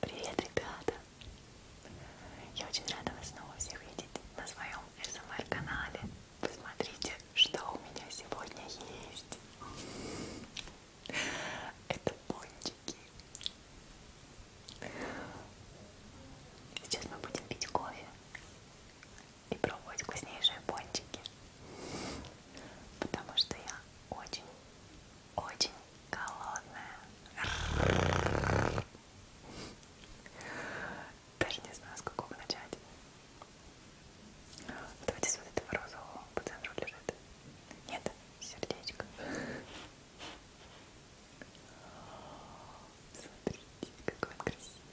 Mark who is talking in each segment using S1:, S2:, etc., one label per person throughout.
S1: Привет, ребята! Я очень рада вас снова всех видеть на своем СМР-канале. Посмотрите, что у меня сегодня есть. Это пончики. Сейчас мы будем пить кофе и пробовать вкуснейшие пончики. Потому что я очень, очень голодная. Даже не знаю, с какого начать. Давайте с вот этого розового по центру лежит. Нет, сердечко. Смотрите, какой он красивый.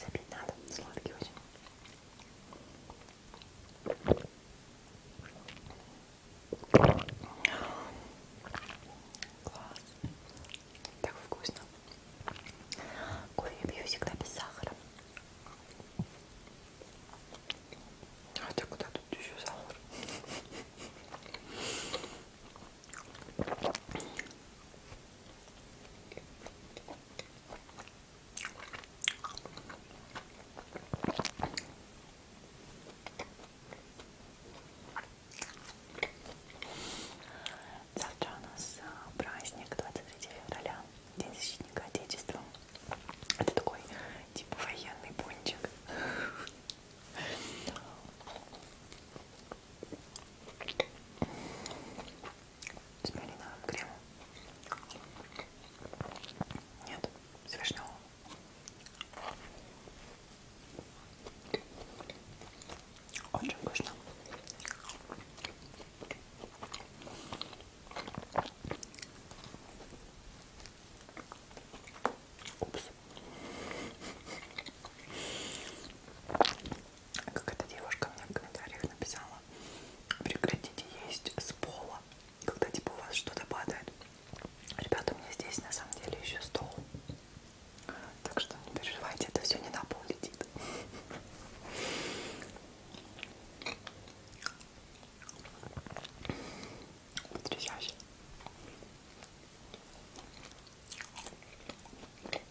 S1: Запить надо, сладкий очень. Классный. Так вкусно. Кофе я пью всегда без сахара. Хотя куда тут еще сахар? Завтра у нас э, праздник 23 февраля, День защитника Отечества. Это такой типа военный пончик. С малиновым кремом. Нет, с вишневым. Очень вкусно. Упс. Как эта девушка мне в комментариях написала, прекратите есть с пола, когда типа у вас что-то падает. Ребята, у меня здесь на самом деле еще стол. Так что не переживайте, это все не на пол летит потрясающе. Один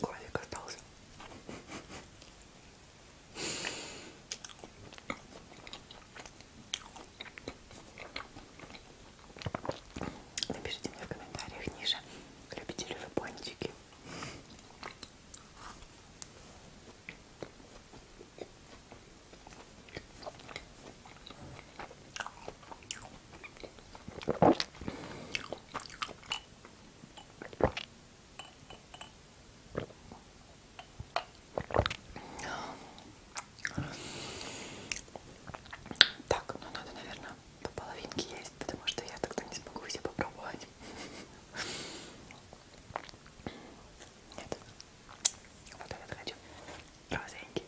S1: глазик остался. Напишите мне в комментариях ниже, любите ли вы пончики. Так, ну надо, наверное, по половинке есть, потому что я тогда не смогу все попробовать. Нет. Вот этот хочу. Розовенький.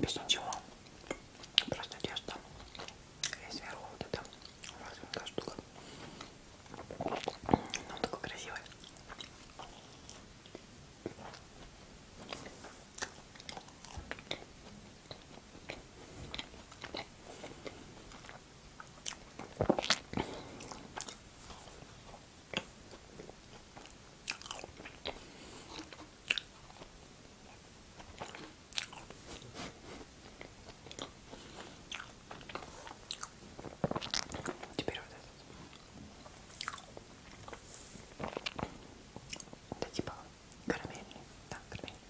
S1: Без ничего. Просто тесто. И сверху вот эта маленькая штука. Ну, Он такой красивый. Теперь вот этот. Это типа карамельный. Да, карамельный.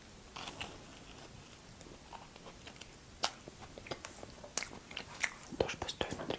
S1: Тоже пустой внутри.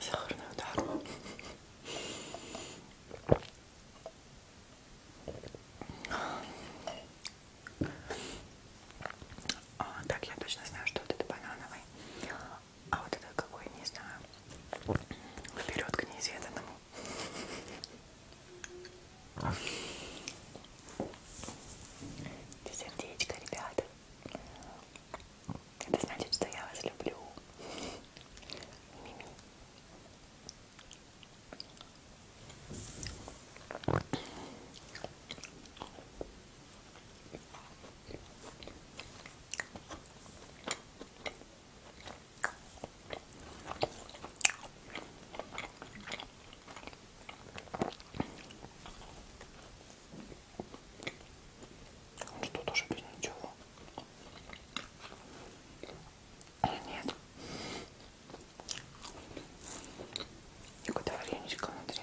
S1: Сахарный удар. А, так, я точно знаю, что вот это банановый, а вот это какой, не знаю. Вперед к неизведанному. Это сердечко, ребята. Это значит, что я вас люблю. Мими. Что тоже без ничего? Нет. Какое-то вареничко внутри.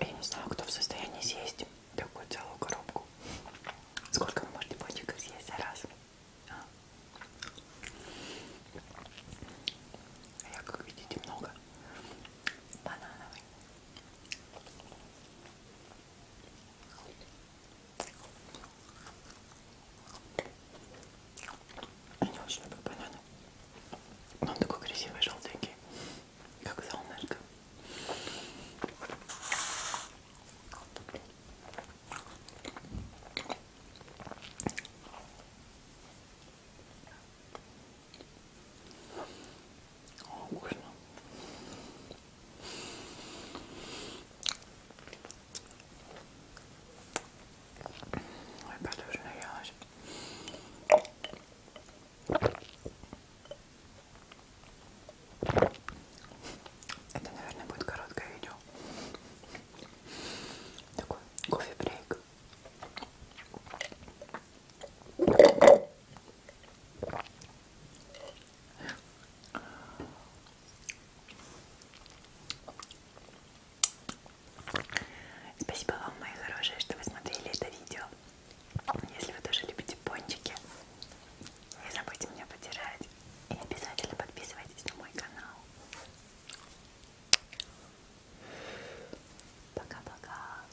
S1: Я не знаю, кто в состоянии съесть такую целую коробку. Сколько вы можете пончиков съесть за раз? А? Я, как видите, много банановый. Я не очень люблю бананы. Но он такой красивый, желтенький, как солнышко. О, вкусно. Ой, подушно елась. Это, наверное, будет короткое видео. Такой кофе-брейк. Спасибо вам, мои хорошие, что вы смотрели это видео. Если вы тоже любите пончики, не забудьте меня поддержать и обязательно подписывайтесь на мой канал. Пока-пока.